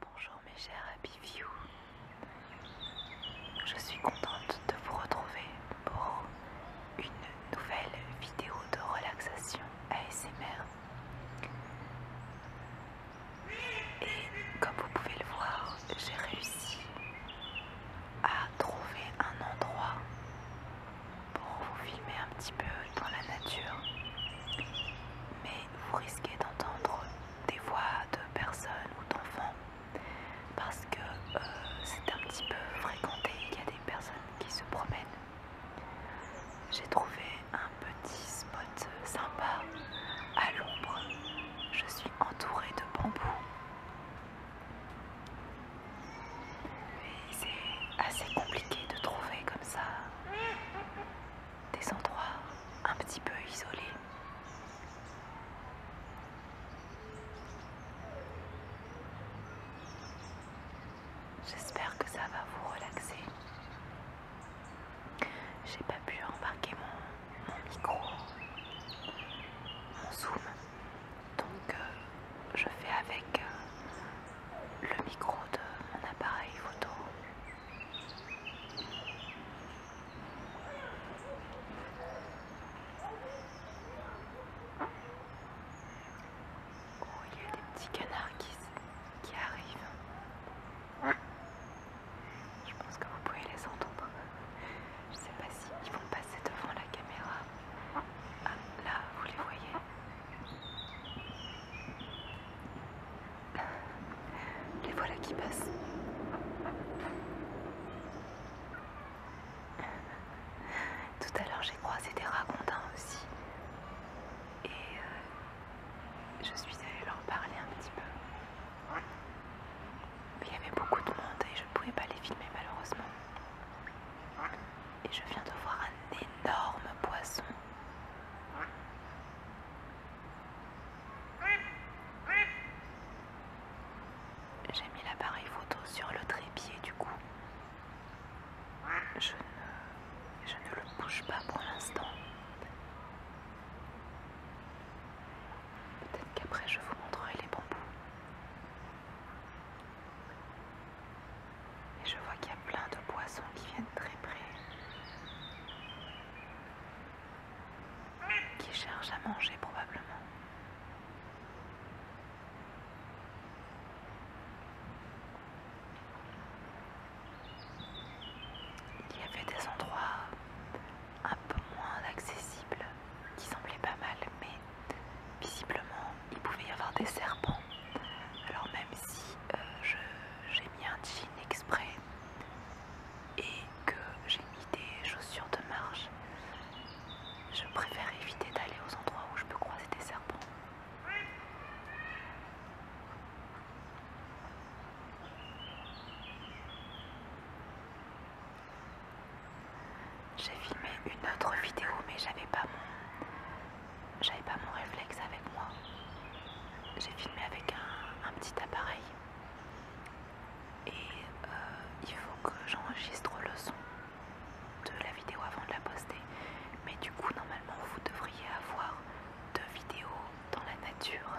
Bonjour mes chers Happy View. Je suis contente de vous retrouver pour une nouvelle vidéo de relaxation ASMR. Et comme vous pouvez le voir, j'ai réussi à trouver un endroit pour vous filmer un petit peu dans la nature, mais vous risquez d'entendre des voix de personnes ou d'enfants parce que euh, c'est un petit peu fréquenté, il y a des personnes qui se promènent. J'ai trouvé un petit spot sympa à l'ombre. Je suis entourée de bambous c'est assez compliqué de trouver comme ça des endroits un petit peu isolés. J'espère que ça va vous relaxer. J'ai pas pu embarquer mon, mon micro, mon zoom. Donc euh, je fais avec euh, le micro de mon appareil photo. Oh, il y a des petits canards qui arrivent. Je pense que vous pouvez les entendre. Je sais pas s'ils vont passer devant la caméra. Ah, là, vous les voyez Les voilà qui passent. Tout à l'heure, j'ai croisé des racontins aussi. Et euh, je suis allée leur parler un petit peu il y avait beaucoup de monde et je ne pouvais pas les filmer malheureusement. Et je viens de voir un énorme poisson. J'ai mis l'appareil photo sur le trépied du coup. Je ne, je ne le bouge pas pour l'instant. Peut-être qu'après je vous montrerai les bambous. Et je vois qu'il y a plein de poissons qui viennent très près. Qui cherchent à manger probablement. Il y avait des endroits un peu moins accessible, qui semblait pas mal, mais visiblement il pouvait y avoir des serpents. Alors même si euh, je j'ai mis un jean exprès et que j'ai mis des chaussures de marche, je préfère éviter d'aller aux endroits où je peux croiser des serpents. J'ai filmé une autre vidéo mais j'avais pas mon j'avais pas mon réflexe avec moi. J'ai filmé avec un, petit appareil et euh, il faut que j'enregistre le son de la vidéo avant de la poster. Mais du coup normalement vous devriez avoir deux vidéos dans la nature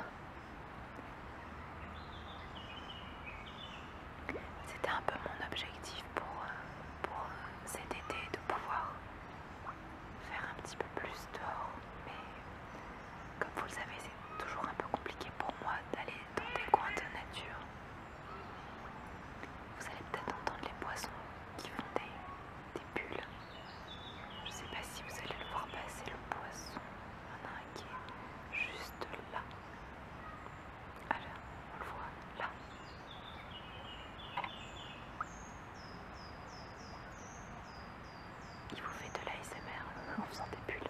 c'était un peu mon objectif pour, euh, euh, cet été de pouvoir faire un petit peu plus dehors, mais comme vous le savez, c'est toujours un peu compliqué pour moi d'aller dans des coins de nature. Vous allez peut-être entendre les poissons qui font des, bulles. Je ne sais pas si vous allez le voir passer, le poisson. Il y en a un qui est juste là. Alors, on le voit là. Il vous fait de l'ASMR vous faisant plus plus.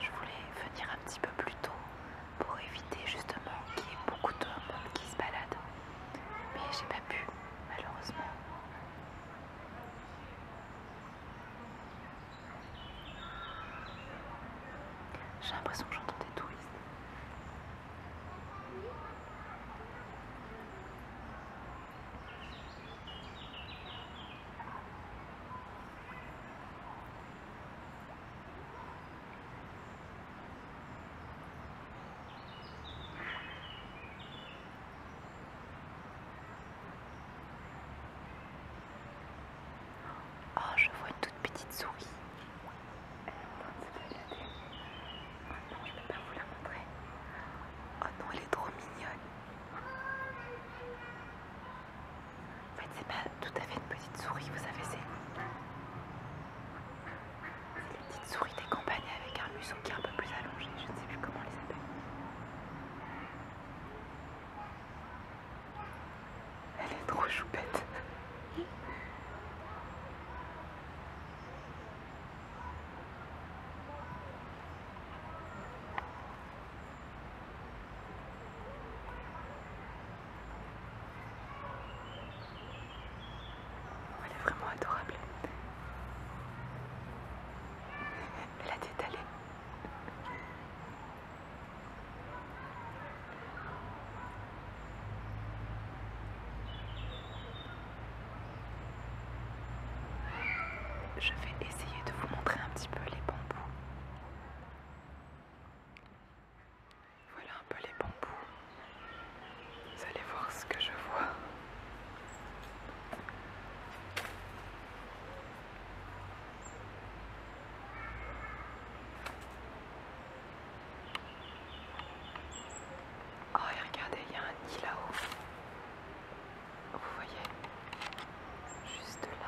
Je voulais venir un petit peu plus tôt pour éviter justement qu'il y ait beaucoup d'hommes qui se baladent Mais j'ai pas pu, malheureusement. J'ai l'impression que j'entends des touristes. Oh, je vois une toute petite souris. Elle est non, je ne peux pas vous la montrer. Oh non, elle est trop mignonne. En fait, c'est pas tout à fait une petite souris, vous savez, c'est les petites souris des campagnes avec un museau qui est un peu plus allongé. Je ne sais plus comment on les appelle. Elle est trop choupette. Elle est vraiment adorable. Elle a allée je vais essayer de vous montrer un petit peu les bambous. Voilà un peu les bambous. Vous allez voir ce que je vois. Oh, regardez, il y a un nid là-haut. Vous voyez Juste là.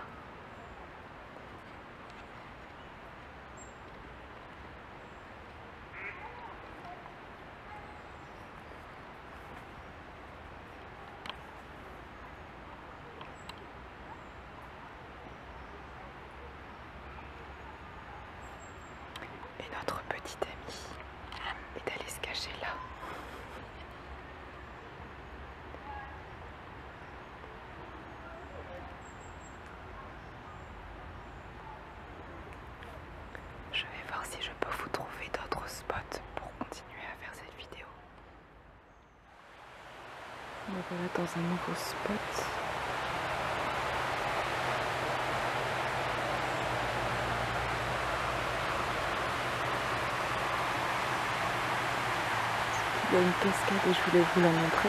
Et notre petite amie est allée se cacher là. Je vais voir si je peux vous trouver d'autres spots pour continuer à faire cette vidéo. On être dans un nouveau spot. Il y a une cascade et je voulais vous la montrer.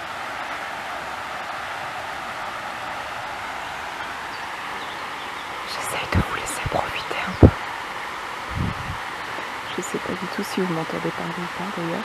J'essaie de vous laisser profiter un peu. Je ne sais pas du tout si vous m'entendez parler ou pas d'ailleurs.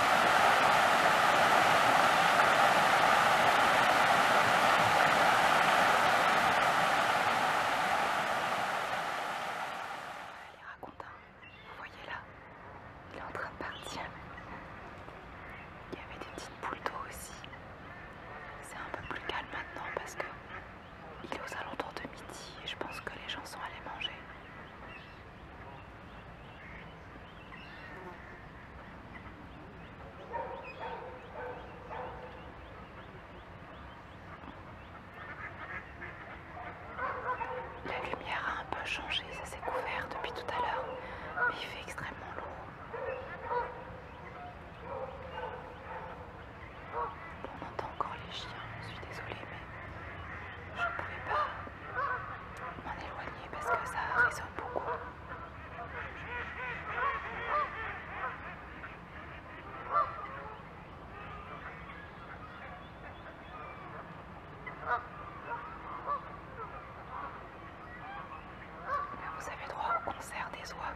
Il raconte Vous voyez là Il est en train de partir. Il y avait des petites boules d'eau aussi. C'est un peu plus calme maintenant parce que il est aux alentours de midi et je pense que les gens sont allés manger. La lumière a un peu changé, ça s'est couvert depuis tout à l'heure, mais il fait extrêmement lourd. On entend encore les chiens, je suis désolée, mais je ne pouvais pas m'en éloigné parce que ça résonne beaucoup. vous avez droit au concert des oies.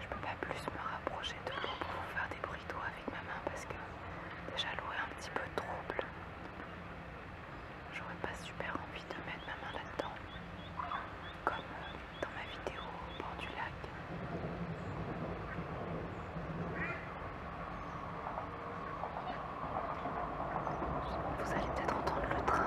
Je peux pas plus me rapprocher de vous pour vous faire des bruits d'eau avec ma main parce que déjà l'eau est un petit peu trouble j'aurais pas super envie de mettre ma main là-dedans, comme euh, dans ma vidéo au bord du lac. Vous allez peut-être entendre le train.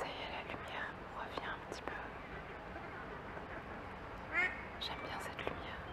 Ça y est, la lumière revient un petit peu. J'aime bien cette lumière.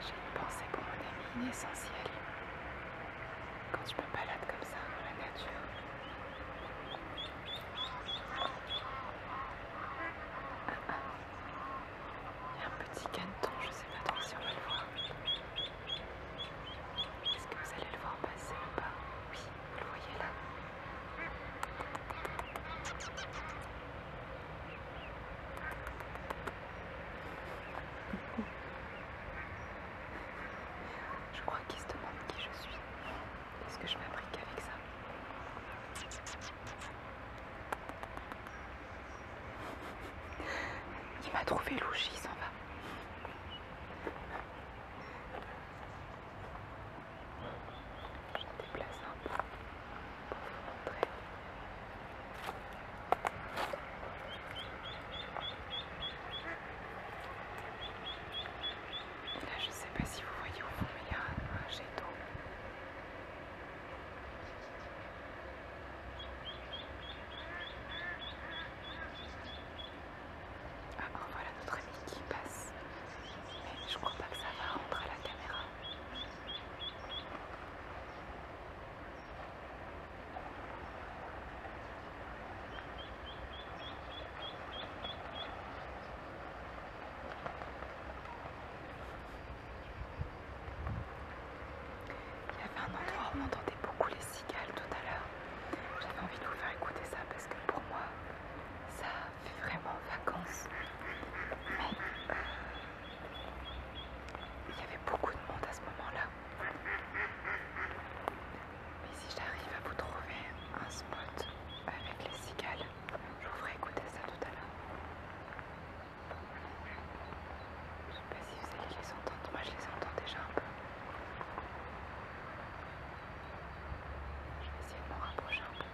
J'ai une pensée pour mon ami inessentielle. Quand je me balade comme ça dans la nature, ah, ah. il y a un petit caneton, je sais pas trop si on va le voir. Est-ce que vous allez le voir passer ou pas Oui, vous le voyez là. Je crois qu'il se demande qui je suis. Est-ce que je m'abrique avec ça il m'a trouvé louche, il s'en va. Je déplace un peu pour vous montrer. Là, je ne sais pas si vous voyez au fond, mais il y a un jet ah ben, voilà notre ami qui passe. Mais je crois pas que ça va rentrer à la caméra. Il y avait un endroit où on entendait beaucoup les cigales tout à l'heure. J'avais envie de vous faire écouter ça parce que pour moi, ça fait vraiment vacances. Mais euh, il y avait beaucoup de monde à ce moment-là. Mais si j'arrive à vous trouver un spot avec les cigales, je vous ferai écouter ça tout à l'heure. Je sais pas si vous allez les entendre, moi je les entends déjà un peu. Je vais essayer de m'en rapprocher un peu.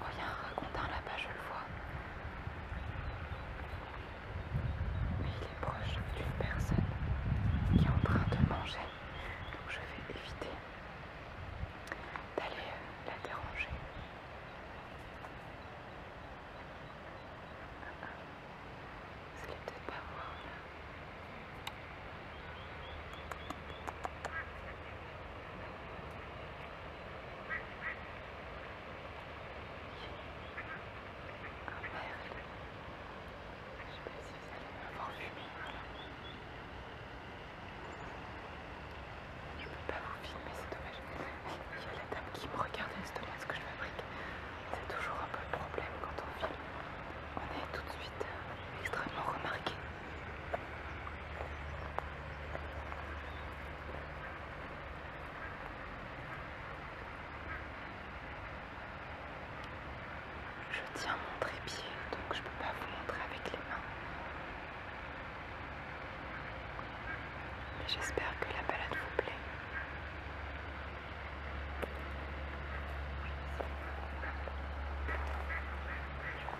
Oh, il y a un racontin là-bas, je le vois. il est proche d'une personne qui est en train de manger. Donc je vais éviter d'aller euh, la déranger. Vous allez peut-être pas voir là. Oh merde! Je sais pas si vous allez m'avoir fumé. Je peux pas vous filmer, c'est dommage. Il y a la dame qui me regarde et se demande ce que je fabrique. C'est toujours un peu le problème quand on filme. On est tout de suite euh, extrêmement remarqués. Je tiens mon trépied, donc je peux pas vous montrer avec les mains. j'espère que la balade vous plaît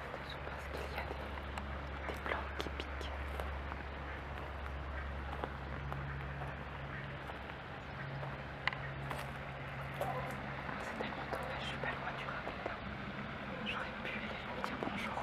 c'est parce qu'il y a des, des plantes qui piquent. C'est tellement dommage, je suis pas loin du racontin. J'aurais pu aller lui dire bonjour.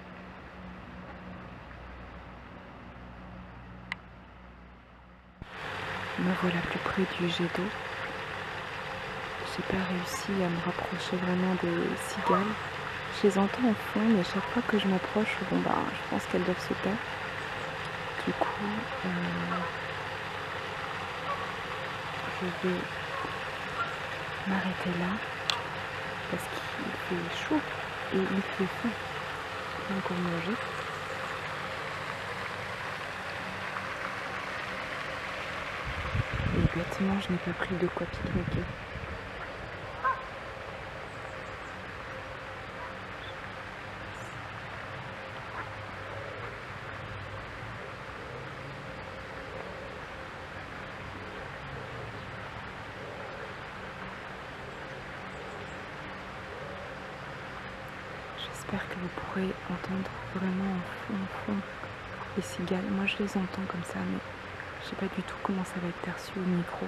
Me voilà plus près du jet d'eau. J'ai pas réussi à me rapprocher vraiment des cigales. Je les entends au fond, mais chaque fois que je m'approche, bon bah, je pense qu'elles doivent se taire. Du coup, euh, je vais m'arrêter là parce qu'il fait chaud et il fait fou. Donc on manger. Et je n'ai pas pris de quoi pique-niquer. J'espère que vous pourrez entendre vraiment en fond, les cigales. Moi je les entends comme ça, mais je sais pas du tout comment ça va être perçu au micro.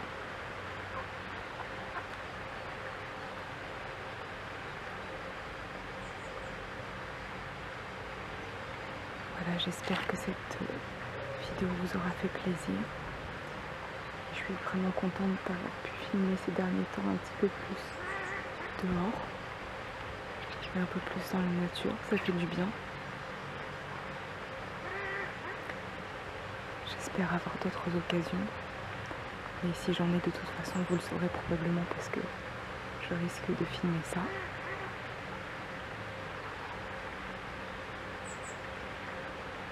Voilà, j'espère que cette euh, vidéo vous aura fait plaisir. Je suis vraiment contente d'avoir pu filmer ces derniers temps un petit peu plus dehors. Et un peu plus dans la nature, ça fait du bien. J'espère avoir d'autres occasions. Et si j'en ai de toute façon, vous le saurez probablement parce que je risque de filmer ça.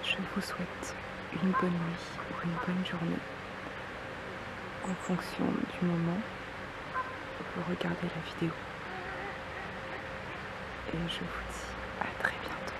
Je vous souhaite une bonne nuit ou une bonne journée en fonction du moment où vous regardez la vidéo. Et je vous dis à très bientôt.